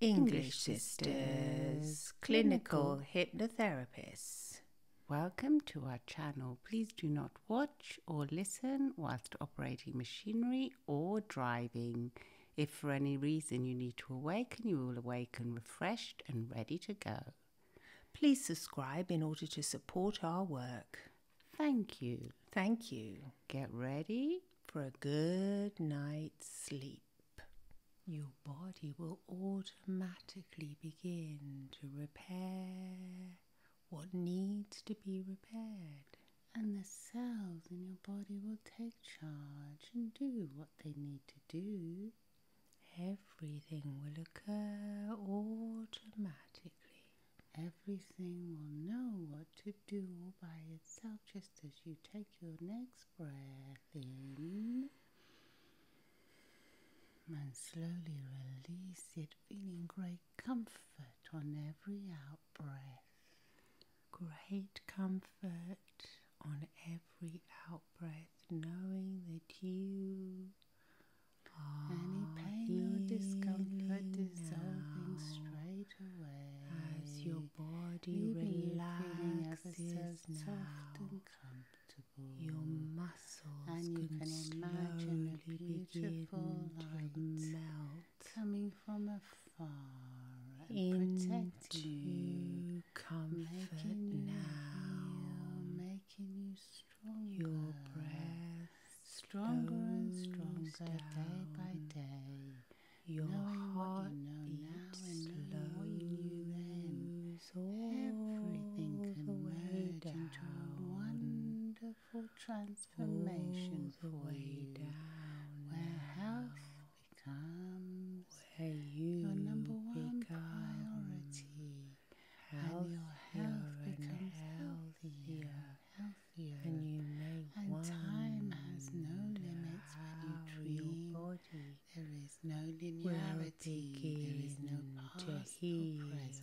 English Sisters, clinical hypnotherapists. Welcome to our channel. Please do not watch or listen whilst operating machinery or driving. If for any reason you need to awaken, you will awaken refreshed and ready to go. Please subscribe in order to support our work. Thank you. Thank you. Get ready for a good night's sleep. Your body will automatically begin to repair what needs to be repaired. And the cells in your body will take charge and do what they need to do. Everything will occur automatically. Everything will know what to do all by itself just as you take your next breath in and slowly release it, feeling great comfort on every out breath. Great comfort on every out breath, knowing that you are any pain or discomfort dissolving straight as your body relaxes so And comfortable. Your muscles and you can, imagine beautiful light melt coming from afar protecting you, comfort now, making you stronger. Your breath stronger and stronger day by day. Your heart what you and knowing what you knew Everything can the down. a wonderful transformation all for you. Down where now. health becomes where your number one priority. And your health becomes healthier. healthier and, time has no limits when you dream. There is no linearity. There is no past or present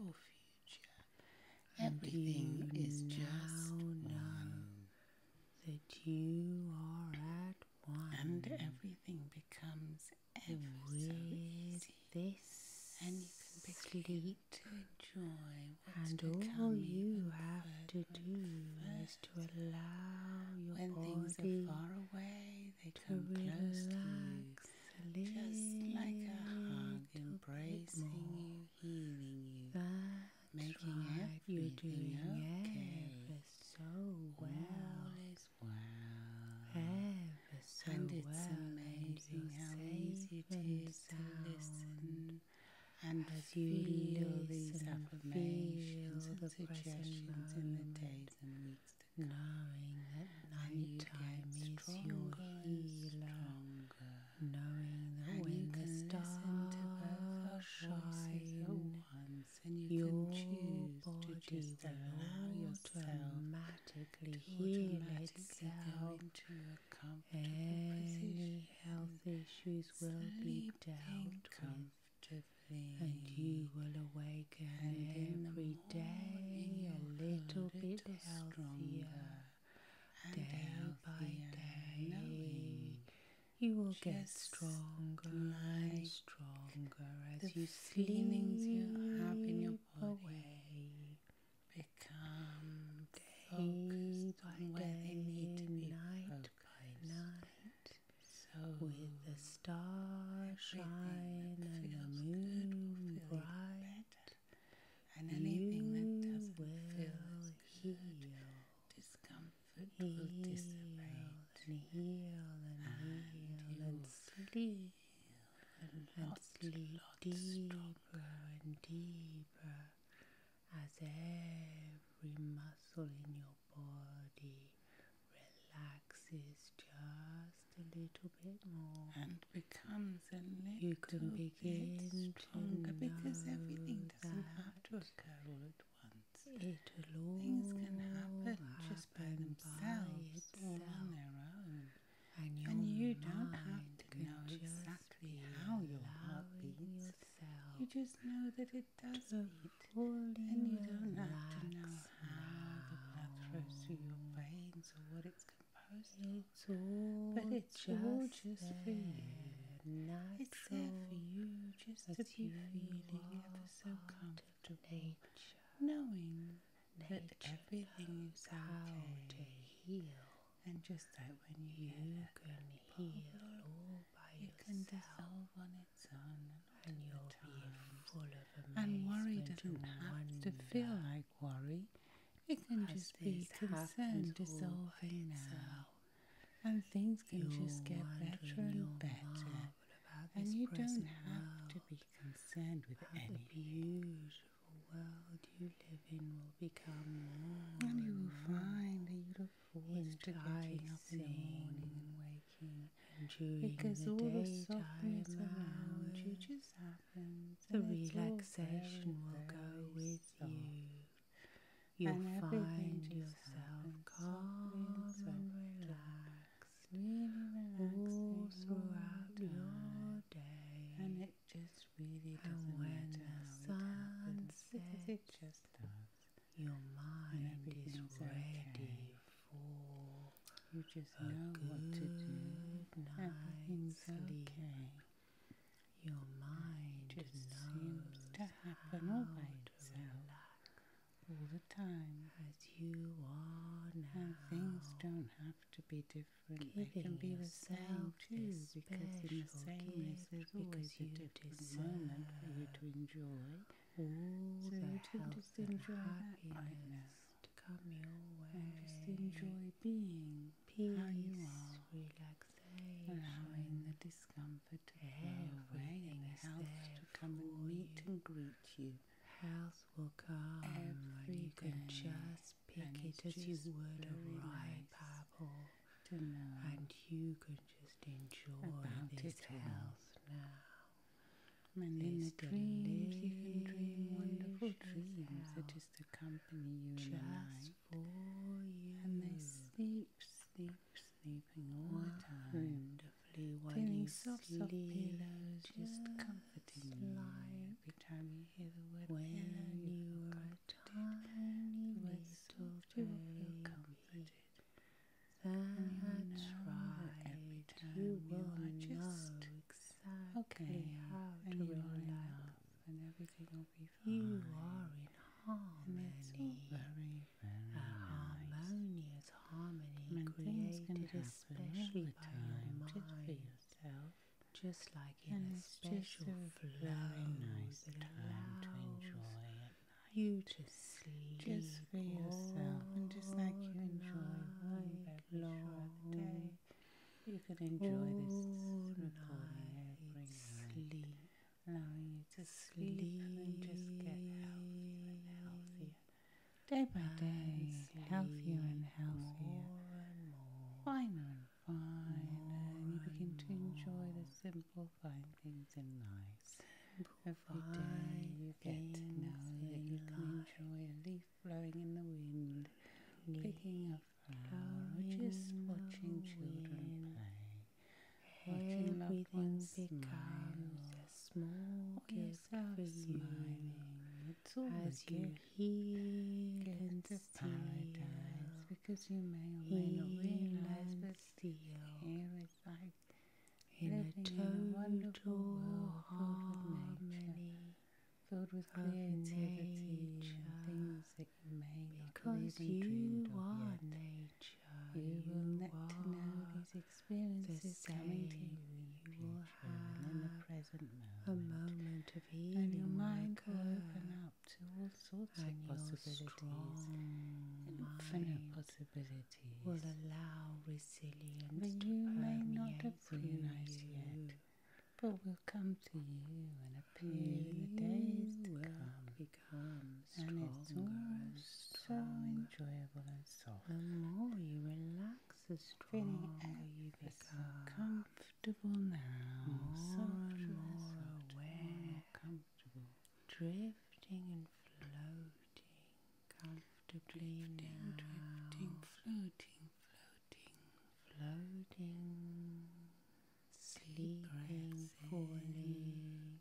or future. Everything is just one. That you are at one. And everything becomes ever This and you can begin to enjoy and all you have to do is to allow your when body things are far away, they to come close to you, just like a hug, embracing you, healing you, That's making everything You're doing okay. Ever so well, as well, ever and it's amazing how easy it is sound. to listen and as you release and affirmations feel suggestions in the days and weeks to knowing that night time is stronger your stronger, knowing that and when the stars to both our shine once, and you your can choose body to just allow yourself to automatically heal itself. Into a comfortable position. Health issues will be dealt comfortably, and you will awaken every day a little, bit healthier. Day healthier, by day, knowing. you will get stronger and stronger as you sleep you have in your body away. become day by day, night by night, so with the starshine and the moon bright, and anything that doesn't feel heal. Discomfort heal will dissipate, and heal and, and heal and sleep and, and lot, sleep lot stronger. and deeper as every muscle in your body relaxes just a little bit more and becomes a little bit stronger because everything doesn't have to occur all at once. It Things can happen just by themselves by all on their own. and you don't have to know exactly how your heart beats you just know that it does beat, and you don't have to know how the blood flows through your veins or what it's composed of. but it's just all just for you. Natural it's there for you just to be feeling ever so comfortable, nature, knowing that everything is okay. to heal and just that when you, you can heal all by it yourself, can dissolve on its own and, you are be full of amazement. And worry doesn't have to feel like worry. It can just be concern dissolving now. And things can just get better and better. And you don't have to be concerned with anything. The beautiful world you live in will become more. And you will find that you his getting up in the morning and waking and during because the all the softness around you just happens. The relaxation will go with you. You'll find yourself calm and, and relaxed, really relaxed all throughout your day, and it just and when the sun sets, Your mind is ready for you just a know good what to do. Everything's sleep. okay. Your mind just seems to happen all by itself, all the time. As you are now, and things don't have to be different. They can be the same too, because in the same gift, there's always a different moment for you to enjoy. All so you can just enjoy happiness to come your way. And just enjoy being Peace, how you are, relaxation, allowing the discomfort to flow away, and health to come and meet you. and greet you. Health will come, Everything. and you can just pick and it as you would a ripe apple. And you can just enjoy this health now. And in the dreams, you can dream wonderful dreams that just accompany you just in the night. And they sleep, sleep, sleeping all the time. Wonderfully, while soft, soft pillows, just comforting you. Every time you hear the word when you, were a tiny little to feel comforted. That's right. Every you will just exactly how to you are and everything will be fine. You are in harmony. And it's harmony and created especially by your mind. For yourself. Just like like in a special flow very nice that time to enjoy at You to sleep just for yourself, and just like you enjoy one long day, you can enjoy this and I every sleep. night. Allow you to sleep, and just get healthier and healthier. Day by day, healthier and healthier. More and more and you begin to enjoy the simple fine things in life. Every day you get to know that you can enjoy a leaf blowing in the wind, picking a flower, or just watching children play. Watching loved ones smile, a small or yourself smiling. It's all as you heal and see paradise because you may or may not realize, but feel here it's like in a total wonderful world filled with nature, filled with creativity and things that you may not because even dreamed of yet. Nature, you will get to know these experiences coming to you. will have in the present moment, of healing, and your mind will open up to all sorts High of possibilities, infinite possibilities, will allow resilience but to you may not appreciate yet, but will come to you and appear you in the days to come. Become and it's all so enjoyable and soft. The more you relax, the stronger feeling you become comfortable now, more and more aware, drifting and floating, comfortably now. drifting, floating, floating, floating, sleeping fully,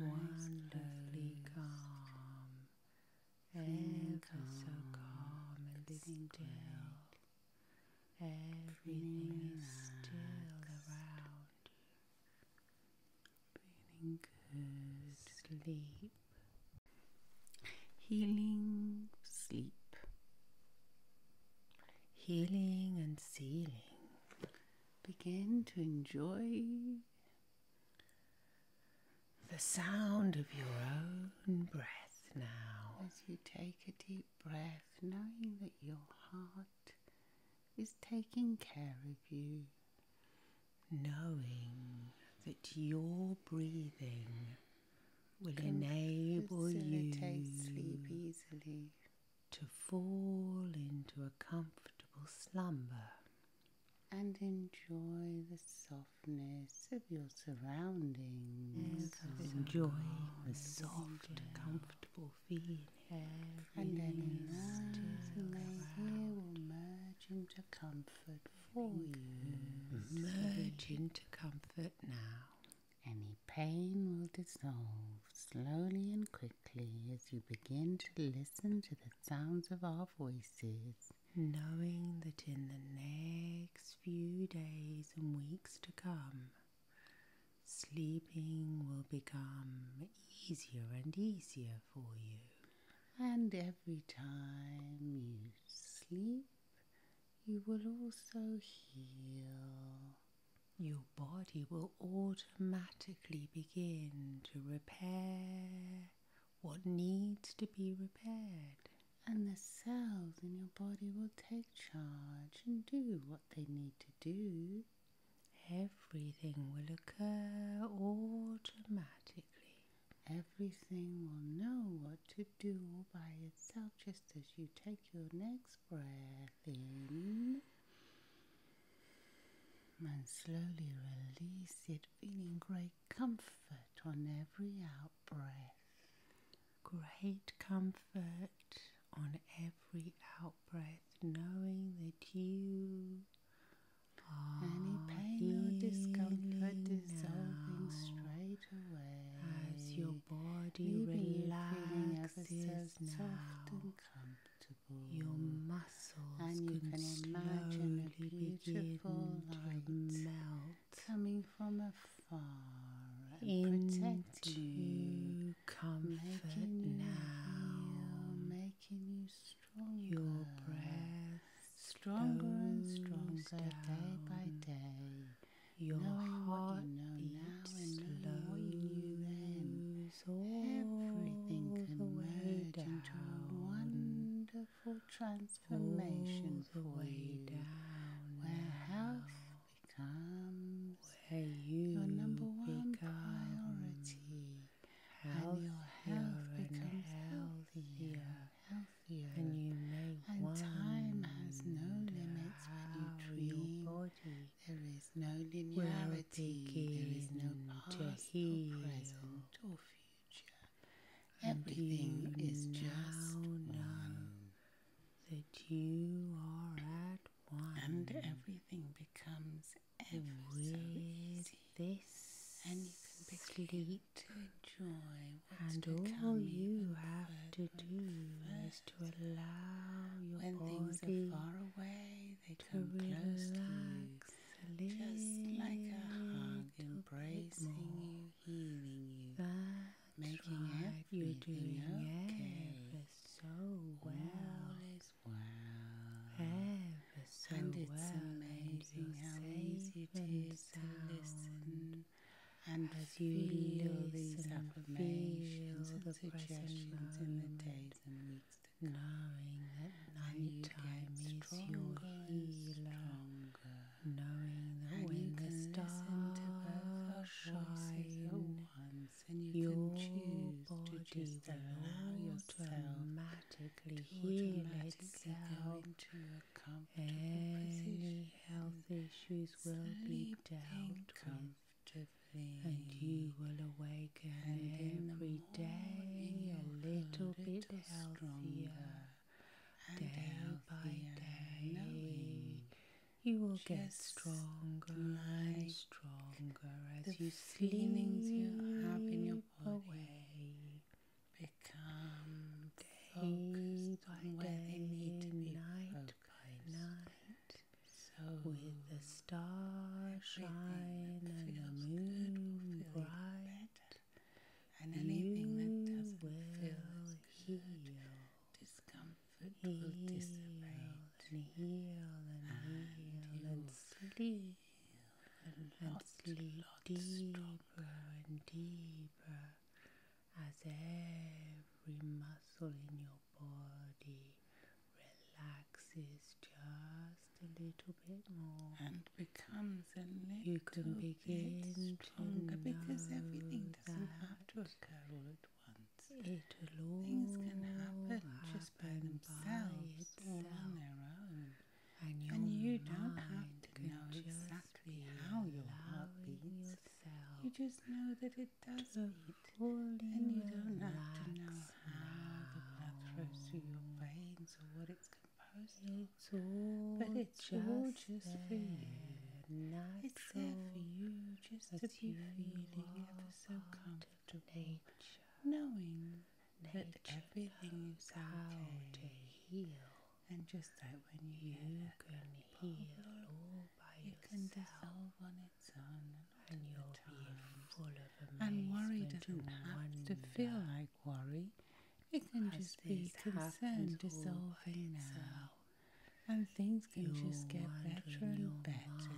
wonderfully calm, ever so calm and still. Everything is still around you. good sleep. Healing sleep. Healing and sealing. Begin to enjoy the sound of your own breath now as you take a deep breath, knowing that your heart is taking care of you, knowing that your breathing will enable you sleep easily to fall into a comfortable slumber and enjoy the softness of your surroundings. enjoy the soft, comforting and any nasty here will merge into comfort for you. Merge into comfort now. Any pain will dissolve slowly and quickly as you begin to listen to the sounds of our voices. Knowing that in the next few days and weeks to come, Sleeping will become easier and easier for you. And every time you sleep, you will also heal. Your body will automatically begin to repair what needs to be repaired. And the cells in your body will take charge and do what they need to do, everything will occur automatically. Everything will know what to do all by itself just as you take your next breath in and slowly release it, feeling great comfort on every out breath great comfort on every outbreath, knowing that you are any pain or discomfort dissolving straight away as your body relaxes so soft and comfortable. Your muscles and you can, imagine slowly beautiful begin light to melt coming from a far and protect you, comfort making now, you heal, making you stronger. Your breath stronger and stronger day by day. Your knowing heart what you know now and knowing you knew then. Everything can merge down. a wonderful transformation all for you, down where health becomes where your number one priority, and your health becomes healthier, healthier, and you make and time has no limits when you dream. Body there is no linearity. There is no past or present or future. Everything is just now that you are at one. And everything becomes ever with This and you can begin to enjoy what's And all you have to do is to allow your when things are far away, they come close to you. Just like a hug embracing you, healing you making everything you're doing okay. ever so well. All well. Ever so and it's amazing how easy it is to listen and as you feel these affirmations and suggestions in the days and weeks to Knowing that night time is stronger your Stronger. Knowing that and when you the stars shine. Once, and you your can body to just allow yourself automatically to heal automatically itself. Any health issues will be dealt with. And you will awaken every day a little, little bit healthier, day by day, you will get stronger and stronger as you feelings you have in your body become focused on day, they need night by night. So with the starshine and the moon bright, better. and anything that doesn't feel good, heal. discomfort comfort heal will dissipate and heal and, and heal and sleep and, and sleep deeper stronger. and deeper as every muscle in your body relaxes just a little bit more and becomes a little you can begin bit stronger because everything doesn't have to occur all at Things can happen just by themselves on their own. And, you don't have to know exactly how your heart beats. You just know that it does beat. And you don't have to know how the blood flows through your veins or what it's composed of. But it all just, just for there for you just to be feeling ever so comfortable, nature, knowing that everything is okay to heal. And just like when you, can heal problem, can dissolve on its own, and you And worry doesn't have to feel like worry; it can just be concern dissolving now and things can just get better and better.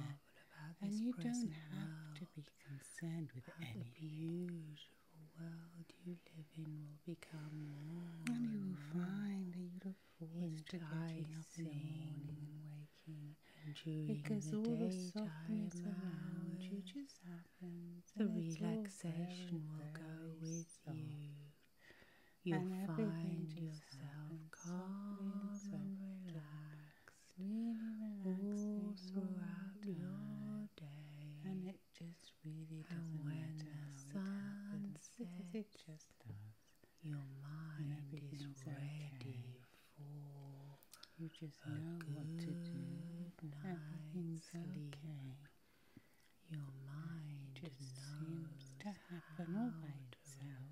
And you don't have to be concerned with anything. The beautiful world you live in will become more. And you will find a beautiful look forward to getting in the morning and waking. And because all the softness around you just happens. The relaxation will go with you. You'll find yourself calm and, and relaxed, really relaxed all throughout your day. And it just really doesn't and when the sun sets, just Your mind is ready for you just know what to do. Everything's sleep. okay. Your mind just seems to happen all by itself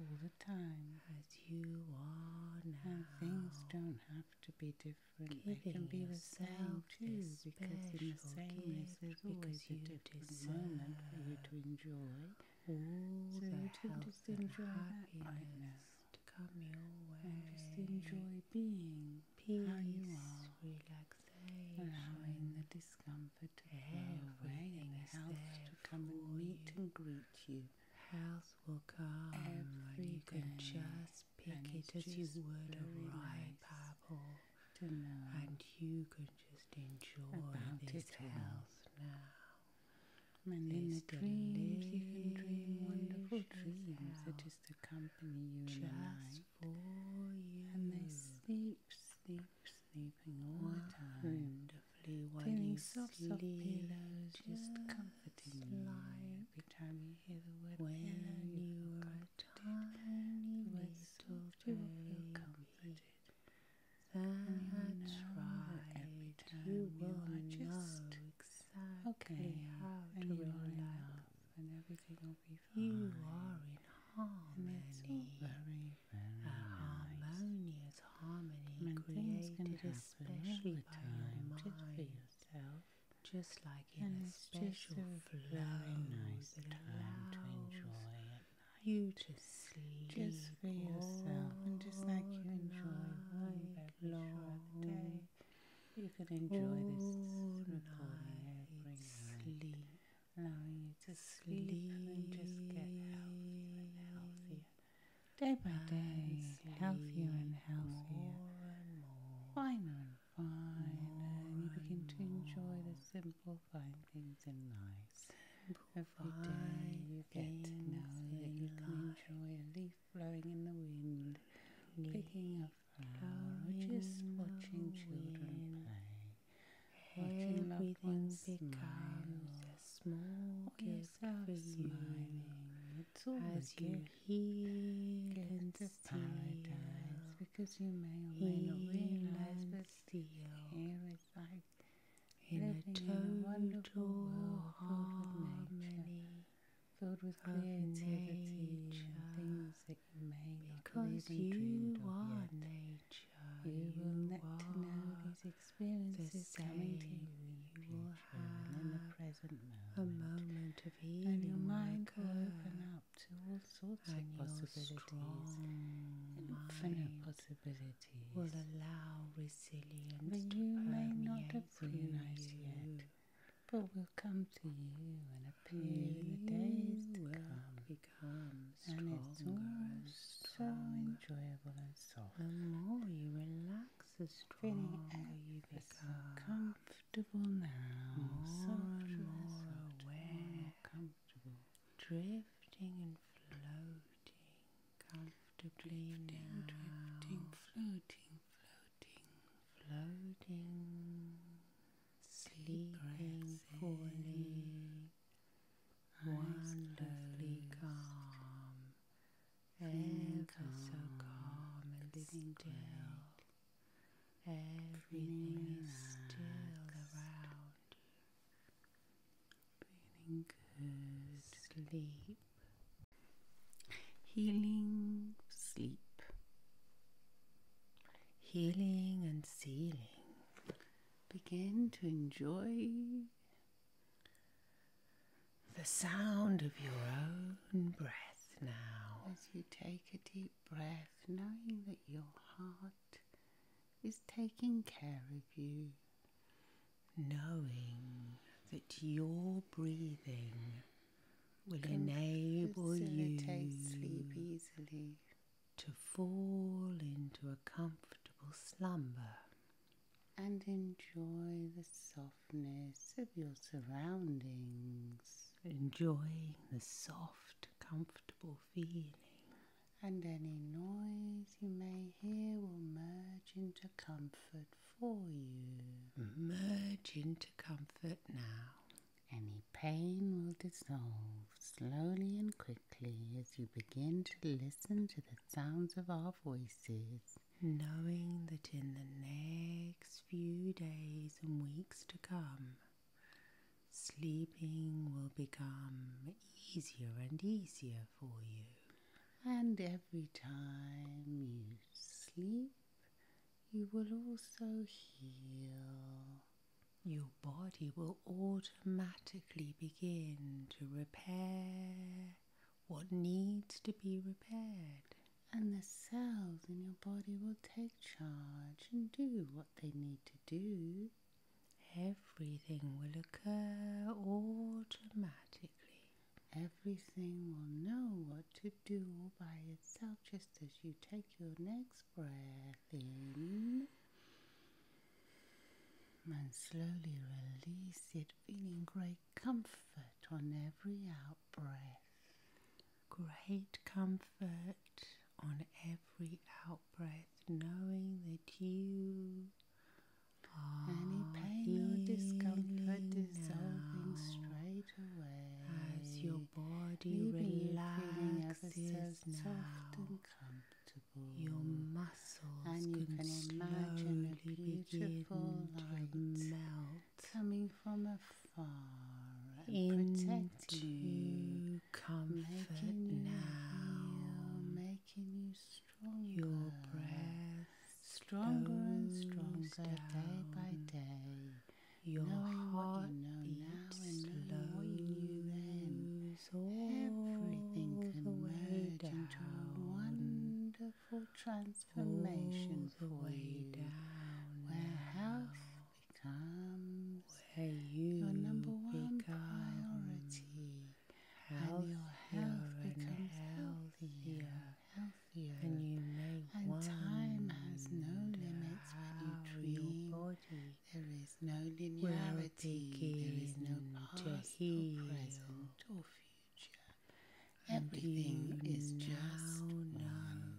all the time. As you are now. And things don't have to be different. they can be the same too, because in the same way there's always a different moment for you to enjoy. so you can just enjoy that right To come your way. And just enjoy being peace, how you are. relaxation, allowing the discomfort good air, to come and meet and greet you. Health will come, Every and you can just pick it as you would a ripe apple, and you can just enjoy this health now. And in the dreams you can dream wonderful dreams that just accompany you just in for you. And they sleep sleep, sleeping all the time, wonderfully while soft, soft pillows, just comforting you. Every time you hear the word pillow, you are got a tiny little to feel comforted. That's you know right. Every time you, are just exactly how to and you're like, and everything will be you are in harmony, very, very a harmonious harmony and created especially by your mind, yourself, just like in and a special a flow nice that allows to enjoy it. You to sleep just for yourself, and just like you enjoy one long day, you can enjoy this recording Sleep allowing you to sleep, and just get healthier and healthier. Day by day, healthier and healthier. More and Finer and finer. and you begin to enjoy the simple fine things in life. Simple Every day you get to know that you can enjoy a leaf blowing in the wind, picking a flower, or just watching children play. Watching Everything becomes as small gift for you as you heal and steal. Because you may or may not realize, but still it's like in a total harmony filled with creativity, and things that that you may because not dreamed of Nature, you will let to know these experiences coming to you in the future present moment. A moment of healing, and your mind will open up to all sorts of possibilities, infinite possibilities. Will allow resilience, but you may not have realized yet. But will come to you and appear you in the days to come and, it's and so enjoyable and soft. The more you relax, the stronger you become. Comfortable now, more and more aware, drifting and floating, comfortably now. drifting, floating, floating, floating sleeping fully, wonderfully calm, ever so calm and still. Everything is still around you. sleep. Healing sleep. Healing and sealing. Begin to enjoy the sound of your own breath now. As you take a deep breath, knowing that your heart is taking care of you, knowing that your breathing will enable you to sleep easily to fall into a comfortable slumber and enjoy the softness of your surroundings. Enjoying the soft, comfortable feeling. And any noise you may hear will merge into comfort for you. Merge into comfort now. Any pain will dissolve slowly and quickly as you begin to listen to the sounds of our voices, knowing that in the next few days and weeks to come, sleeping will become easier and easier for you. And every time you sleep, you will also heal your body will automatically begin to repair what needs to be repaired. And the cells in your body will take charge and do what they need to do. Everything will occur automatically. Everything will know what to do all by itself just as you take your next breath within and slowly release it, feeling great comfort on every outbreath. Great comfort on every outbreath, knowing that you any pain or discomfort dissolving straight away as your body relaxes soft and comfortable. Your muscles and you can, imagine a beautiful light coming from afar and protecting you, comfort making you now, heal, making you stronger. Your breath stronger and stronger day by day. Your heart what you now and knowing you knew then. Everything can merge into a wonderful transformation all for you, where health becomes your number one priority, and your health becomes healthier, healthier, and you make and time has no limits when you dream there is no linearity, there is no past or present or future. Everything is just one.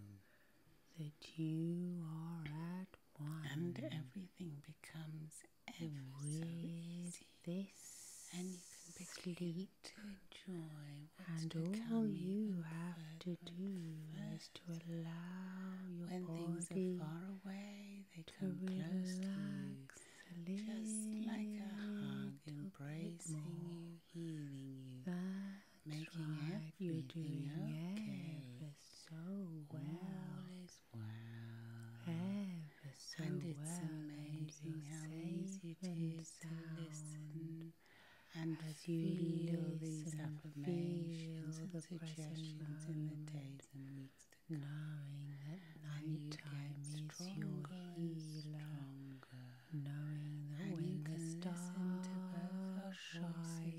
That you are at one, and everything becomes ever so This and you can begin sleep to enjoy and all you have to do to allow your when body things are far away, they come close to you, just like a hug, embracing you, healing you, That's making right. everything doing okay. Ever so well, all is and it's amazing how easy it is to listen and as you live these affirmations and suggestions in the days and weeks to knowing that nighttime is your stronger. knowing that when the stars shine,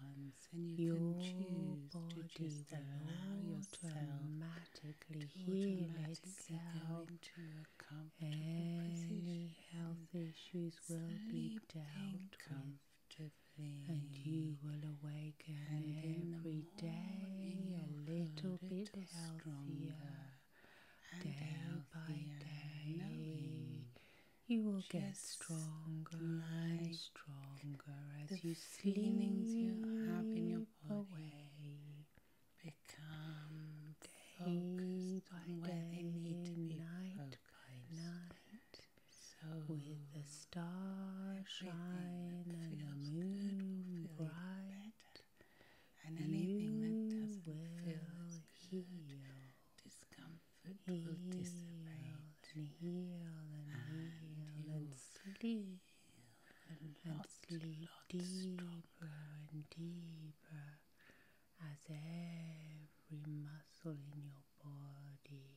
and you your can choose to just allow yourself automatically to heal itself. Into a comfortable Any position. health issues will be dealt with and you will awaken every day a little bit healthier. Day by day, you will get stronger and stronger as you feelings you have in your body become day focused on where they need to be night focused. By night so with the starshine and the moon bright, better. and anything that doesn't feel heal. Good, discomfort will dissipate, and heal and, and heal and sleep and, sleep deeper and deeper as every muscle in your body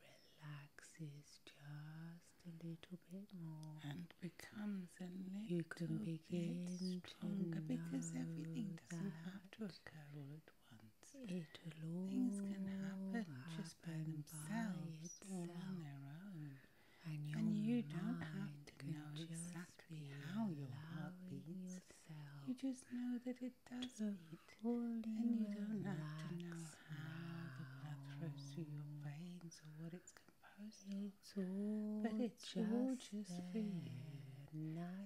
relaxes just a little bit more and becomes a little you can begin bit stronger because everything doesn't have to occur all at once. Things can happen just by themselves on their own. And, and you don't have to know exactly how your heart beats. You just know that it does it, and you don't have to know how the blood flows through your veins or what it's composed of. but it's just all just for you.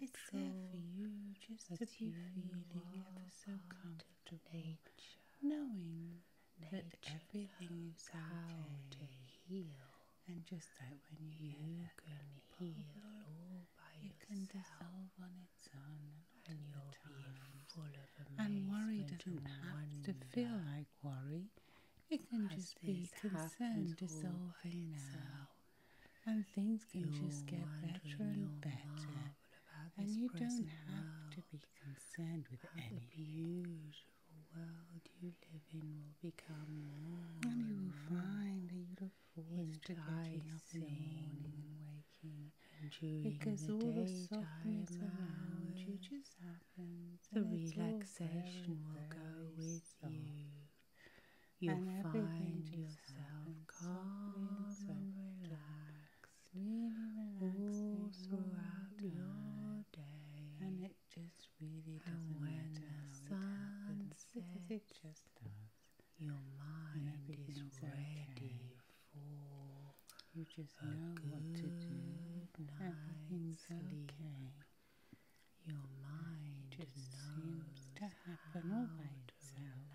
it's there for you just to be feeling ever so comfortable, knowing that everything is okay. to heal. And just that when you, can heal you can dissolve on it and you'll be full not have to feel like worry. It can just be concern dissolving now, and things can just get better and better. And you don't have to be concerned with anything. The beautiful world you live in will become more. And you will find that you is guiding and waking and during because the all the softness around you just happens. The relaxation will go with you. You'll find yourself calm and relaxed, really relaxed all throughout your day. And it just really doesn't matter the it just does. Your mind is ready okay. for you just a know good what to do. Everything's sleep. okay. Your mind it just seems to happen all by itself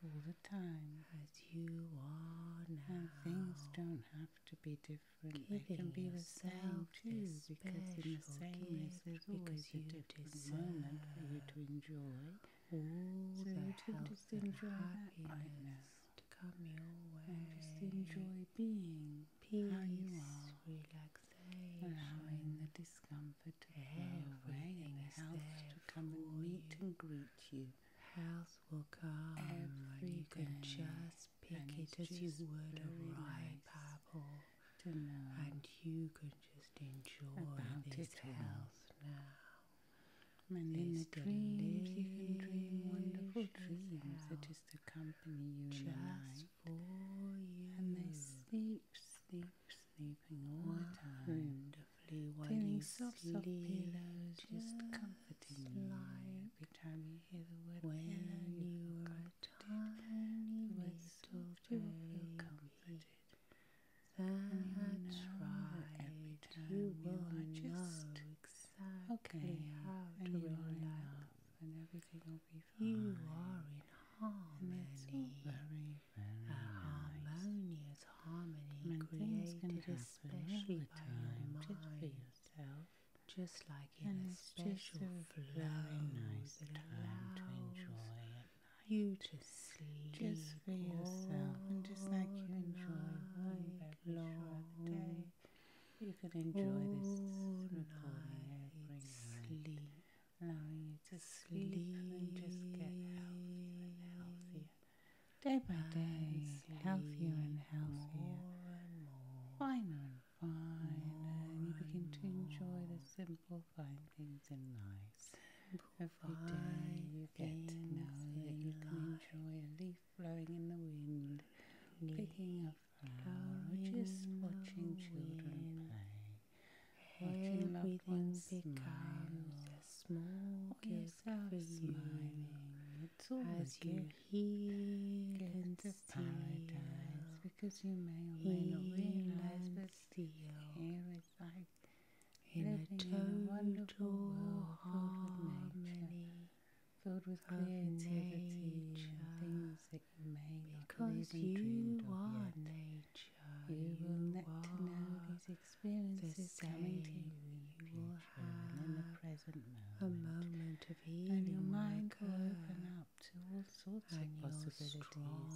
all the time. As you are now. And things don't have to be different. Giving they can be the same too, because in the same is there's always a different moment for you to enjoy all so the health just and happiness to come your way. And just enjoy being peace, how you are, relaxation, allowing the discomfort to go away, and health to come and meet and greet you. Health will come, and you can just pick it as you would a ripe apple. And you could just enjoy this health now. And in the dreams, you can dream wonderful dreams that just accompany you just in the night. And they sleep, sleep, sleeping all the time. Wonderfully, while Feeling soft, soft pillows, just comforting you. Every time you hear the word when you are a tiny, little whistle, you will feel comforted. That's you know right. Every time you, you are just exactly okay how and to you are enough, and everything will be fine. You are in harmony. And very, very a harmonious nice. harmony and created especially by your mind. Just yourself. Just like in and a special flow nice that allows to enjoy it you just sleep just for yourself and just like you enjoy one long the day you can enjoy this recording sleep allowing you to sleep, and just get healthier and healthier day by day healthier and healthier finer and finer and you begin to enjoy the find things in life. Every day you get to know that you can enjoy a leaf blowing in the wind, picking a flower, or just watching children play. Watching loved ones a small or yourself for smiling. It's all as a you heal get and to because you may or may not realize, but still in a total harmony filled with creativity nature, things that you may not because even dreamed of nature. You, will get to know these experiences coming to you in the future present moment. A moment of healing, and your mind will open up to all sorts and of possibilities,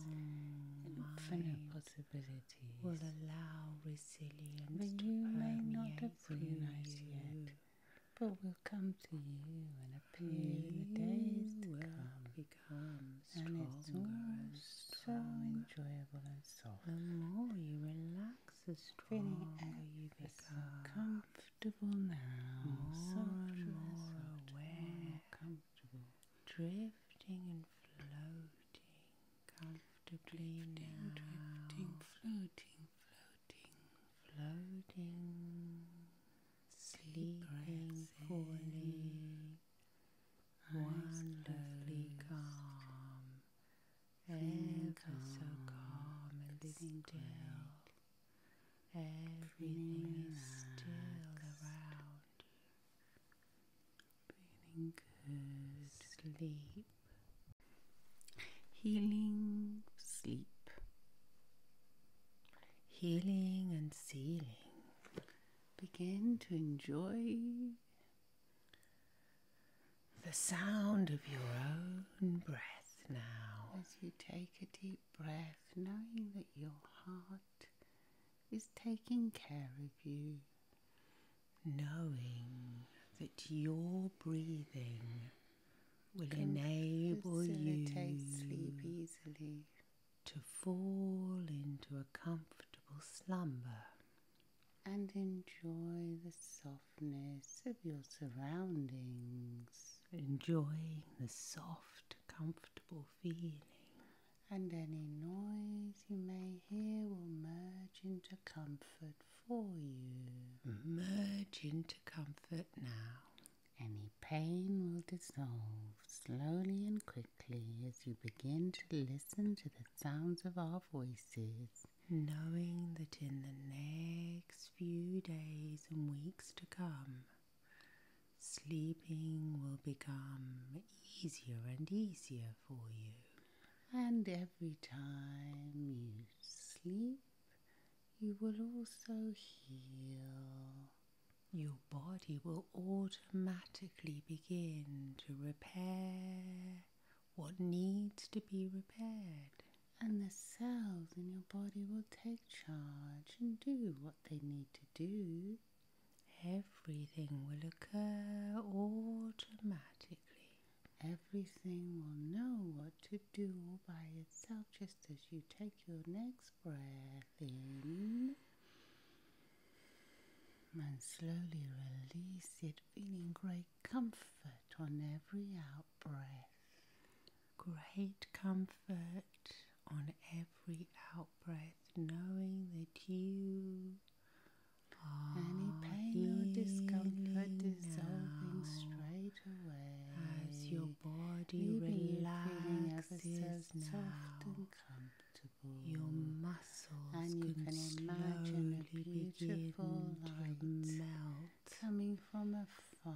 infinite possibilities, will allow resilience but to you may not appreciate yet, but will come to you and appear you in the days to come. Become and it's all so enjoyable and soft. The more you relax, the stronger you become. Comfortable now, more softer, more aware, comfortable drifting and floating comfortably drifting, now. Drifting, floating, floating, floating, sleeping fully, wonderfully calm, ever so calm and still. Everything is still around you. Feeling Sleep. Healing sleep. Healing and sealing. Begin to enjoy the sound of your own breath now. As you take a deep breath, knowing that your heart is taking care of you, knowing that your breathing will enable you sleep easily to fall into a comfortable slumber and enjoy the softness of your surroundings. Enjoying the soft, comfortable feeling and any noise you may hear will merge into comfort for you. Merge into comfort now. Any pain will dissolve slowly and quickly as you begin to listen to the sounds of our voices, knowing that in the next few days and weeks to come, Sleeping will become easier and easier for you. And every time you sleep, you will also heal. Your body will automatically begin to repair what needs to be repaired. And the cells in your body will take charge and do what they need to do Everything will occur automatically. Everything will know what to do all by itself just as you take your next breath in and slowly release it, feeling great comfort on every out breath. Great comfort on every out breath, knowing that you ah, are any pain or discomfort dissolving straight away as your body relaxes so soft and comfortable. Your muscles and you can, imagine a beautiful light melt coming from afar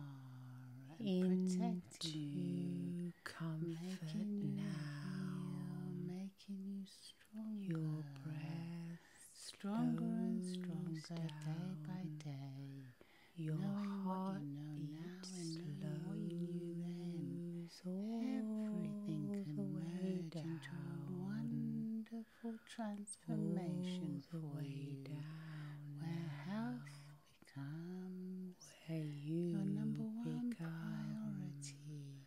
and protecting you you comfort making now, you feel, making you stronger. Your breath stronger and stronger day by day. Your heart what you know now and knowing you knew then. Everything can the merge down. into a wonderful transformation for you, down where health becomes where you your number one priority,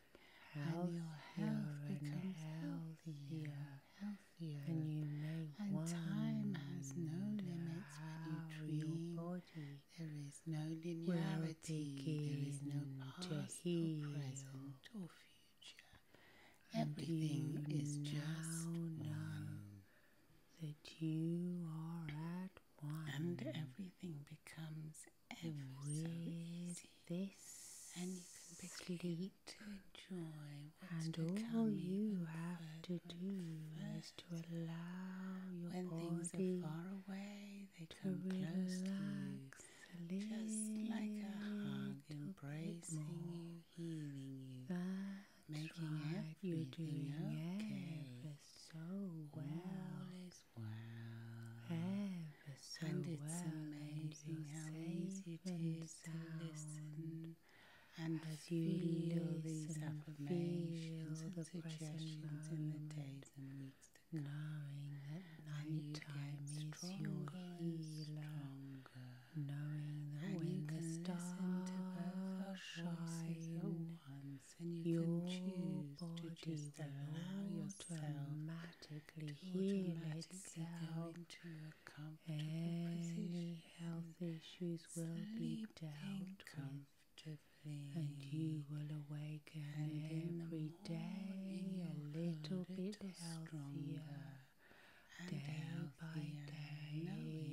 and your health becomes healthier, healthier, and you make and time has no limits when you dream. Body there is no linearity. There is no past present or future. Everything is just now That you are at and everything becomes ever so easy. This and you can begin to enjoy And all you have to do is to allow your when body things are far away, they come close to you. Just like a hug, embracing you, healing you, making everything You're so well. Well is well. Ever so and it's amazing how easy it is to listen and as you feel these affirmations and suggestions in the days and weeks to come. Knowing that night time is stronger your healer. Stronger. Knowing that and when the stars shine, and you your can choose body to just allow yourself automatically to heal itself. and into a comfortable Any health issues will be dealt with, and you will awaken every day a little, bit healthier, day by day.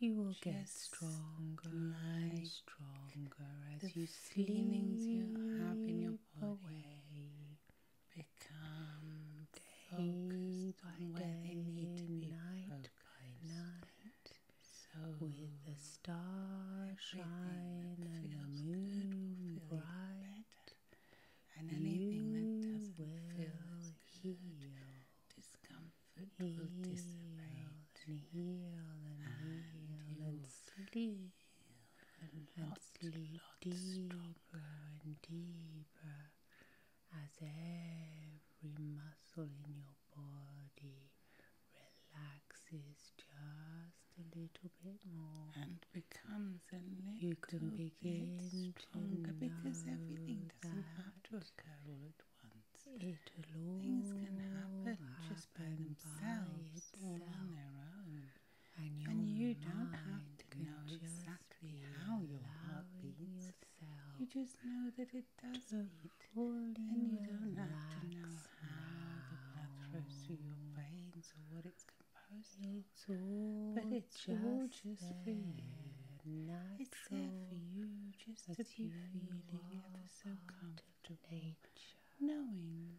You will get stronger and stronger as you feelings you have in your body become focused by day, they need night focused. by night. So with the starshine and the moon bright, and anything that doesn't feel good, heal. Discomfort comfort heal will dissipate and heal and, heal and sleep and, and sleep deeper and deeper as every muscle in your body relaxes just a little bit more and becomes a little bit stronger because everything doesn't have to occur all at ones. Things can happen just by themselves by or on their own. And, you don't have to know exactly how your heart beats. You just know that it does beat. And you don't have to know how the blood flows through your veins or what it's composed of. but it's just all just you. Natural it's there for you just to be feeling ever so comfortable to nature, knowing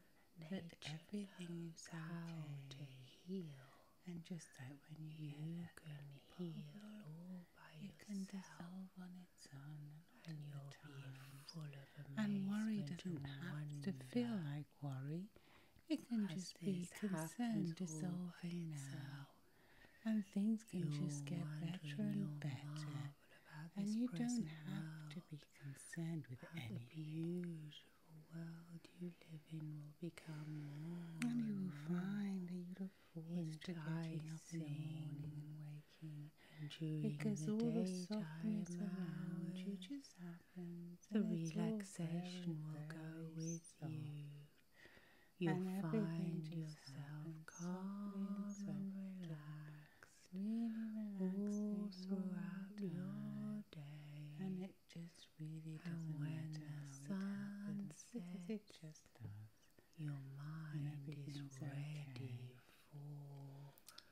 that everything is how okay. to heal. And just like when you, can heal all by you can dissolve on its own, and you'll be full of amazement. And worry doesn't have to feel like worry; it can just be concern dissolving now, and things can just get better and better and you don't have to be concerned with any the beautiful world you live in will become more and you will find that beautiful look forward to getting up in the morning and waking because all the softness around you just happens the relaxation will go with you You'll find your self calm relax, relaxed, relax throughout your day. And it just really doesn't matter how it happens it just does. Your mind is ready for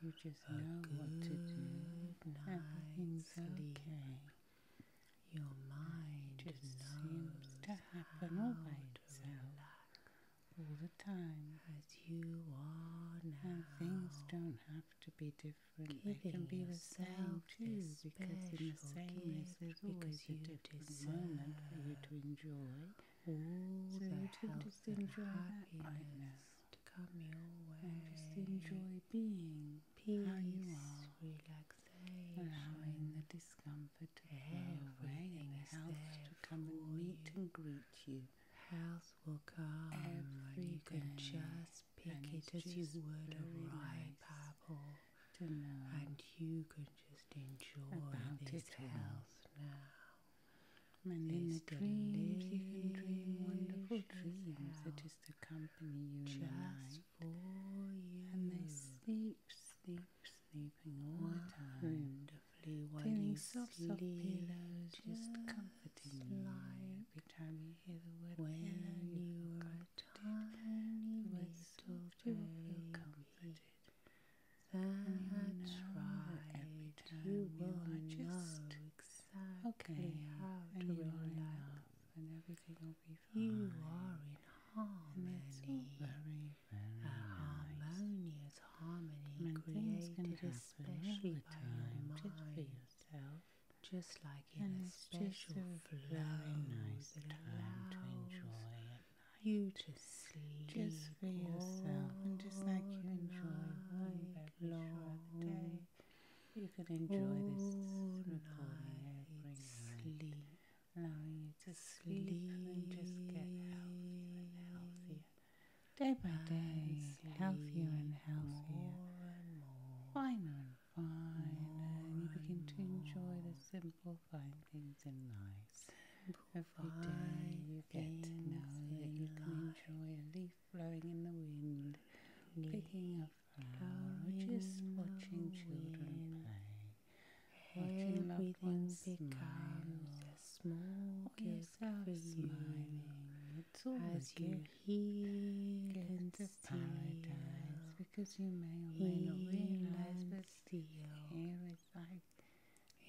you just a know good what to do. sleep. Your mind just seems to happen all by itself. Relax all the time. As you are now. And things don't have to be different. Giving they can be the same too, because in the sameness there's always a different moment for you to enjoy. All so you can just enjoy happiness being how you are, relaxation, allowing the discomfort to everything and to come and meet and greet you. Health will come, everything. you can just pick it as you would a ripe apple, and you can just enjoy this health now. And in the dreams, you can dream wonderful dreams that just accompany you the night. for you. And they sleep sleep, sleeping all wow. the time, wonderfully while soft, soft pillows, just comforting you. Every time you hear the word when you've got a tiny little to feel comforted. That's you know Every time you, are just exactly how you're enough, and everything will be fine. You are in harmony a harmonious harmony and created especially by your mind, yourself. just like in a special a flow nice that allows to enjoy at you to sleep just for yourself, and just like you enjoy one long day, you can enjoy this recording every night allowing you to sleep, and just get healthier and healthier. Day by day, healthier and healthier. And finer and finer. And you begin to enjoy the simple fine things in life. Every day you get to know that you can enjoy a leaf blowing in the wind, picking a flower, or just watching children play. Watching everything becomes as small oh, gift for you as you heal and steal. Because you may or may not realize, but still here it's like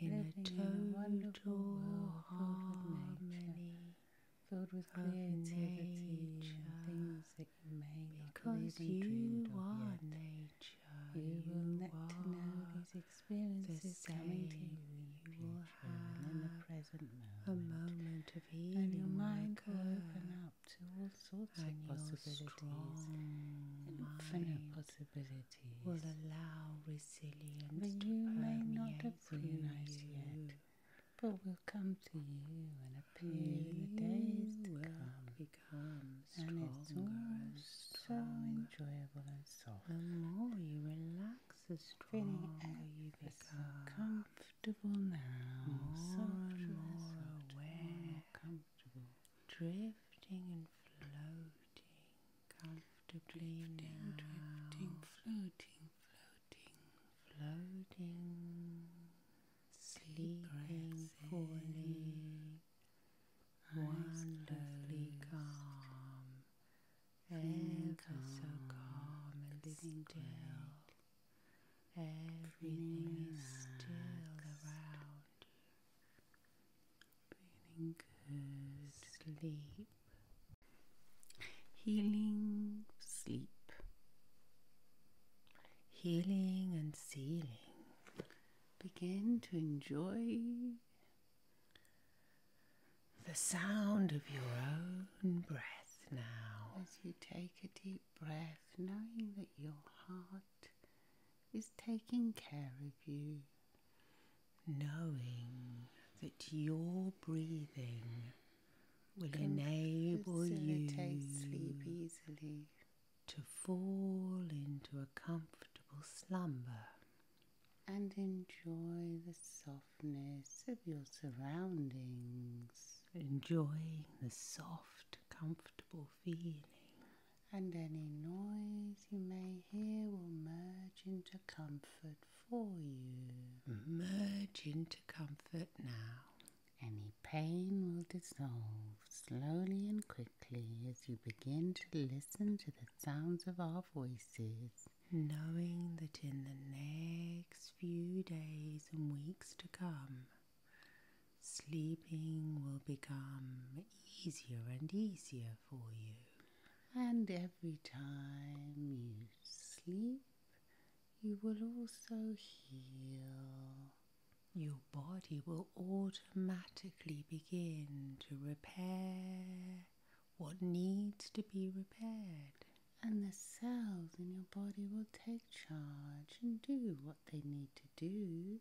in a total harmony filled with creativity, nature, things that you may not because even you dreamed of yet. nature you will get to know these experiences coming to you. You will have in the present moment. a moment of healing, and your mind will open up to all sorts of possibilities. Infinite possibilities will allow resilience but to you may not have realized yet, but will come to you and appear in the days to come and, it's and so enjoyable and soft. The more you relax, the stronger you become. Comfortable now, more and aware, drifting and floating, comfortably now. drifting, floating, floating, floating, sleeping, falling wonderfully calm, ever so calm and still. Everything is still around. Feeling good sleep. Healing sleep. Healing and sealing. Begin to enjoy the sound of your own breath now. As you take a deep breath, knowing that your heart is taking care of you. Knowing that your breathing will enable you to sleep easily to fall into a comfortable slumber and enjoy the softness of your surroundings. Enjoying the soft, comfortable feeling. And any noise you may hear will merge into comfort for you. Merge into comfort now. Any pain will dissolve slowly and quickly as you begin to listen to the sounds of our voices, knowing that in the next few days and weeks to come, sleeping will become easier and easier for you. And every time you sleep, you will also heal your body will automatically begin to repair what needs to be repaired. And the cells in your body will take charge and do what they need to do.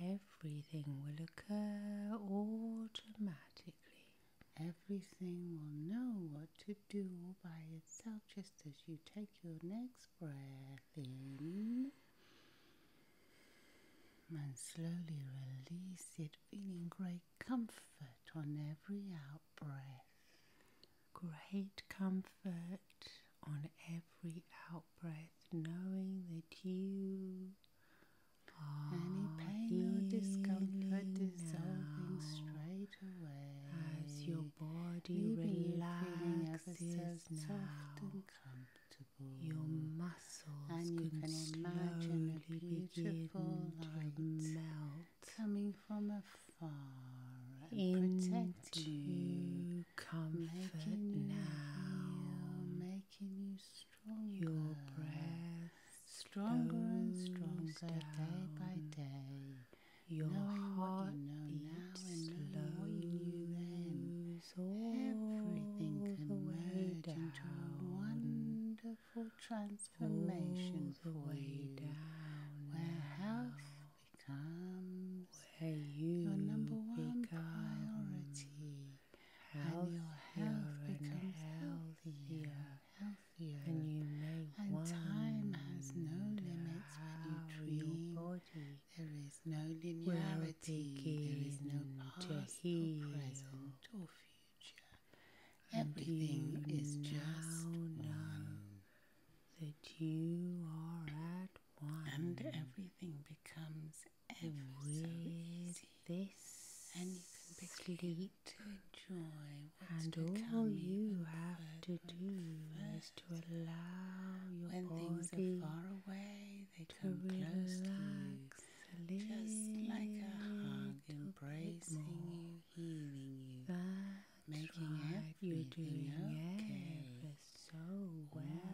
Everything will occur automatically. Everything will know what to do all by itself just as you take your next breath and slowly release it, feeling great comfort on every outbreath. Great comfort on every outbreath, knowing that you any pain or discomfort dissolving straight away as your body relaxes Soft and comfortable your mm. muscles and you can, imagine a beautiful light melt coming from afar and protecting you, comfort now, making you stronger. Your breath stronger and stronger day by day. Your heart what you now and what you then goes everything can the down. into a wonderful transformation for way you, where health becomes your number one priority, health becomes healthier, healthier, and time has no limits when Your body there is no linearity, there is no past or present or future. Everything is just one. That you are at one, and everything becomes ever so This and you can begin to enjoy and all you have to do is to allow your when things are far away, they to relax closely, just like a hug, embracing you, healing you, That's making right. You're doing okay. ever so well,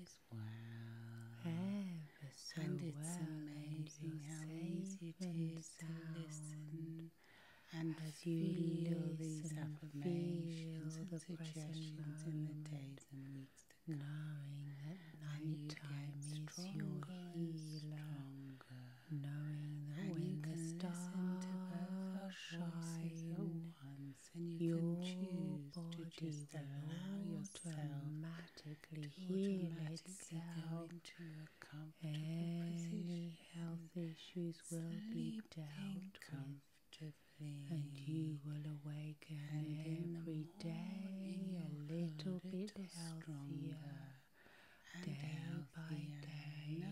as well, and it's amazing how easy it is to listen. And as you feel the affirmations and suggestions in the days and weeks knowing that nighttime you is your healer, stronger, knowing that and when the stars shine, once, and you can choose to just allow yourself automatically to heal automatically itself. Any presence. health issues will be dealt with and you will awaken every day a little bit healthier. Day by day,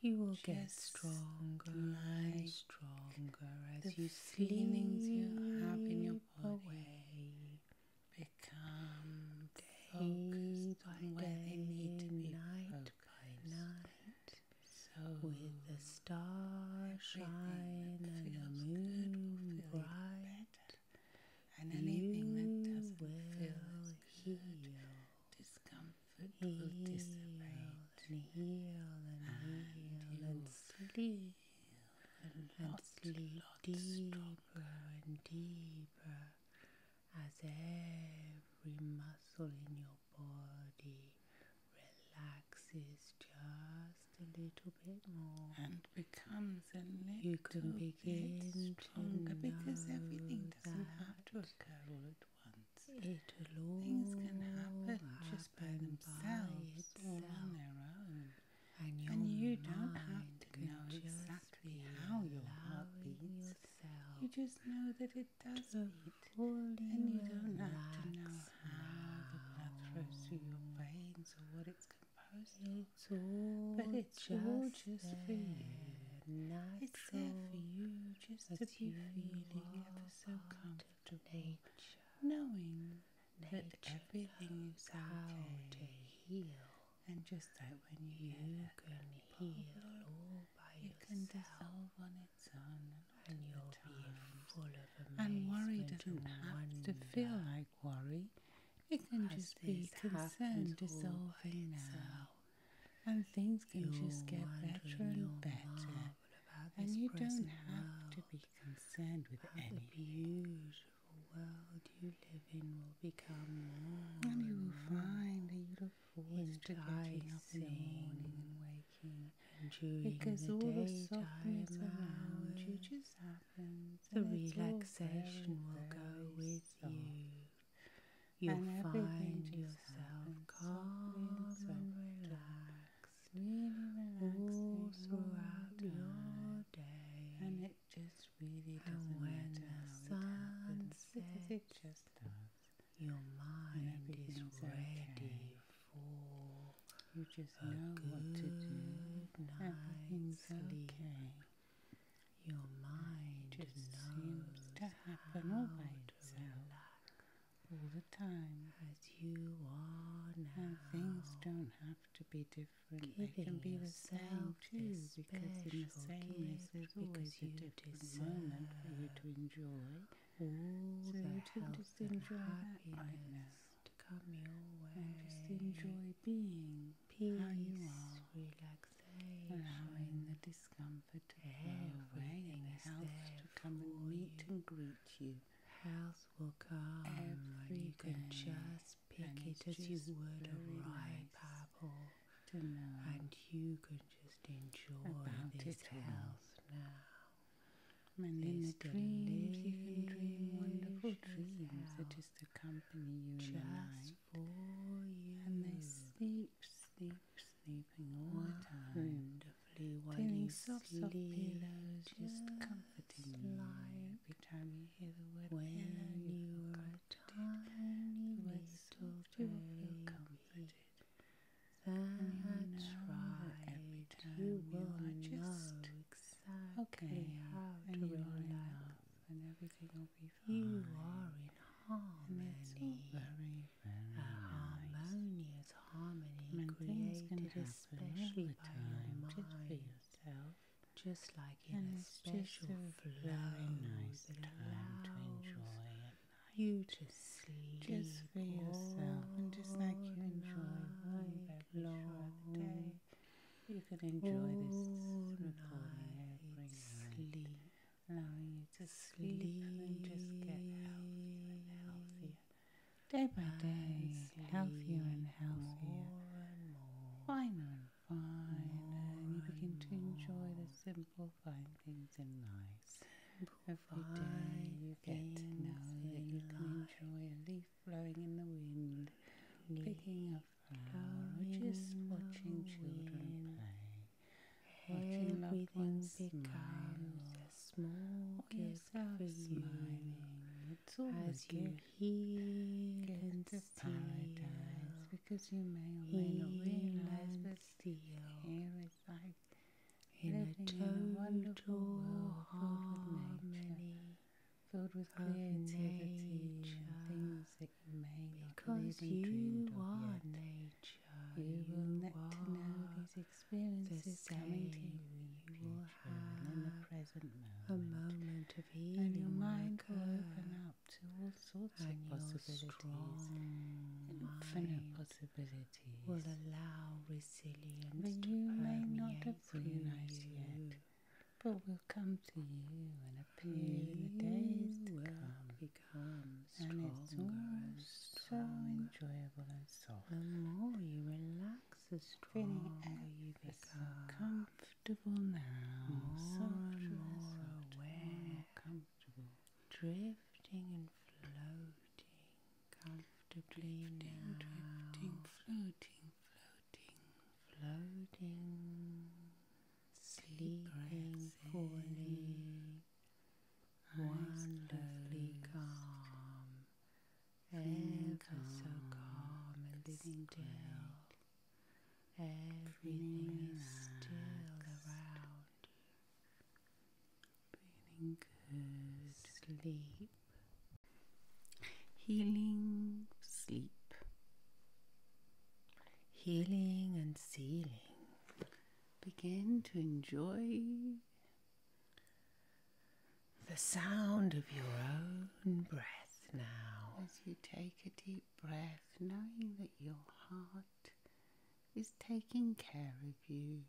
you will get stronger and stronger as you feelings you have in your body become day focused on where they need to be night focused. By night so with the starshine and the moon bright, better. and anything that doesn't feel heal. Good, discomfort will dissipate, and heal and, and heal and sleep and, sleep deeper and deeper as every muscle in your body relaxes just a little bit more and becomes a little you can begin bit stronger because everything doesn't have to occur all at once. It Things can happen just by themselves all on their own. And, and you don't have to know exactly how your heart beats. You just know that it does it, and you don't have to know how the blood flows through your veins or what it's composed of. but it's just all just there. it's there for you just to be feeling ever so comfortable, knowing that everything is okay. to heal. And just that when you, can heal You can dissolve on it and you'll be to feel like worry. It can just be concern dissolving now, and things can just get better and better. And you don't have to be concerned with anything. The beautiful world you live in will become more. And you will find that you look forward to up in the morning and waking because all the softness around you just happens. The relaxation will go with you. You'll find yourself calm and, and relaxed, really relaxed all throughout your day. And it just really doesn't and when matter the sun sets, it just does. Your mind is ready for you just a know good what to do. Night's sleep. Okay. Your mind just seems to happen all by itself, all the time. As you are and things don't have to be different. They can be the same too, because in the sameness there's always a different moment for you to enjoy so the health just and happiness to just enjoy being peace, how allowing the discomfort of everything and health to come and meet and greet you. Health will come, Everything. you can just pick it as you would a ripe apple, and you can just enjoy this health now. And in the dreams you can dream wonderful dreams. that the company you just invite. you. And they sleep, sleep, sleeping all the time. Wonderfully winding soft, soft pillows, just comforting you. Every time you hear the word you feel comforted. That's you know right. Every time you will just exactly okay, how and to you and everything will be fine. You are in harmony. very, a harmonious harmony and created especially by your mind. Just like in and a special flow, very nice time to enjoy it you just sleep just for yourself and just like you enjoy long the day you can enjoy this recording sleep allowing you to sleep, and just get healthier and healthier day by day healthier and healthier finer and finer and you begin to enjoy the simple fine things in life Every day you get to know that you can enjoy a leaf blowing in the wind, picking a flower, or just watching children play. Watching loved ones becomes smile. a small gift for you. It's all as you heal get and to paradise because you may or may not realize, but still living in a total in a wonderful world filled with harmony, filled with creativity and things that you may not because have even you of yet. nature. You, you will get to know these experiences coming to you. You will have in the present moment. a moment of healing, and your mind will open up to all sorts of possibilities, infinite possibilities will allow resilience you may not appreciate yet, but will come to you and appear you in the days to come. Become stronger and it's so enjoyable and soft. The more you relax, the stronger you become. Comfortable now, more softer and more aware, comfortable, drifting and floating comfortably drifting, now. floating, floating, floating, sleeping fully, wonderfully calm, Everything is still around you. Feeling good. Sleep. Healing sleep. Healing and sealing. Begin to enjoy the sound of your own breath now. As you take a deep breath, knowing that your heart is taking care of you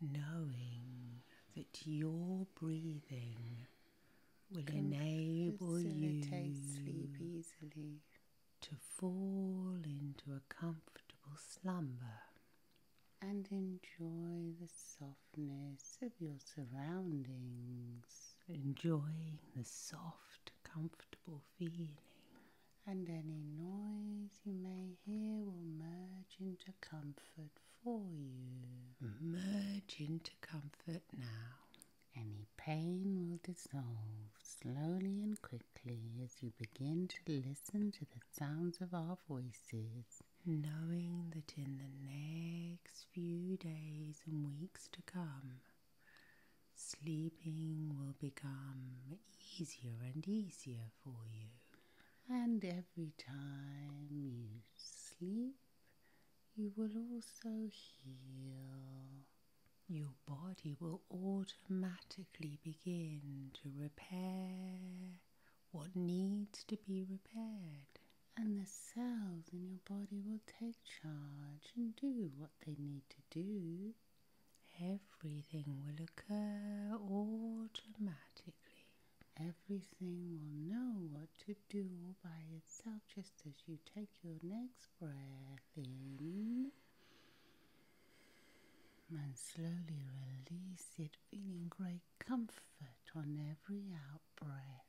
knowing that your breathing will enable you sleep easily. to fall into a comfortable slumber and enjoy the softness of your surroundings. Enjoying the soft, comfortable feeling and any noise you may hear will merge into comfort for you. Merge into comfort now. Any pain will dissolve slowly and quickly as you begin to listen to the sounds of our voices, knowing that in the next few days and weeks to come, sleeping will become easier and easier for you. And every time you sleep, you will also heal. Your body will automatically begin to repair what needs to be repaired. And the cells in your body will take charge and do what they need to do Everything will occur automatically. Everything will know what to do by itself just as you take your next breath in and slowly release it, feeling great comfort on every out breath.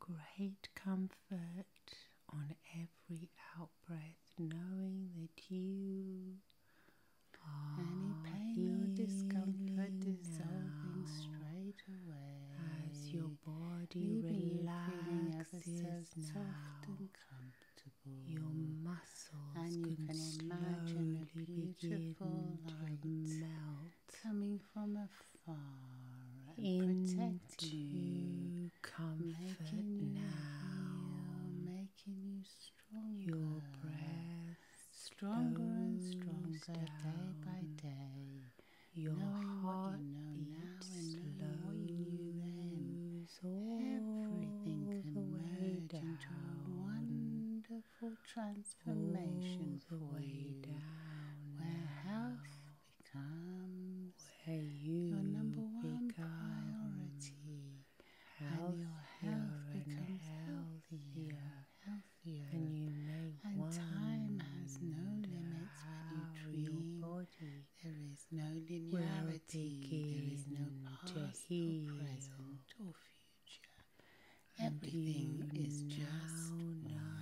Great comfort on every out breath, knowing that you any ah, pain or discomfort dissolving straight away as your body relaxes now. Soft and comfortable. Your muscles and you can, imagine a beautiful light melt coming from afar and protecting you, comfort making now. You feel, making you stronger. Your breath stronger and stronger day by day. Your knowing heart what you know now and knowing what you knew then. Everything can the merge a wonderful transformation for you. Down where health becomes where you your number one priority and your health becomes healthier, healthier, and you make and time has no limits when you dream. there is no linearity. There is no past or present or future. Everything is just now.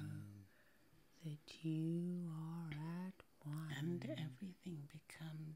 That you are at one, and everything becomes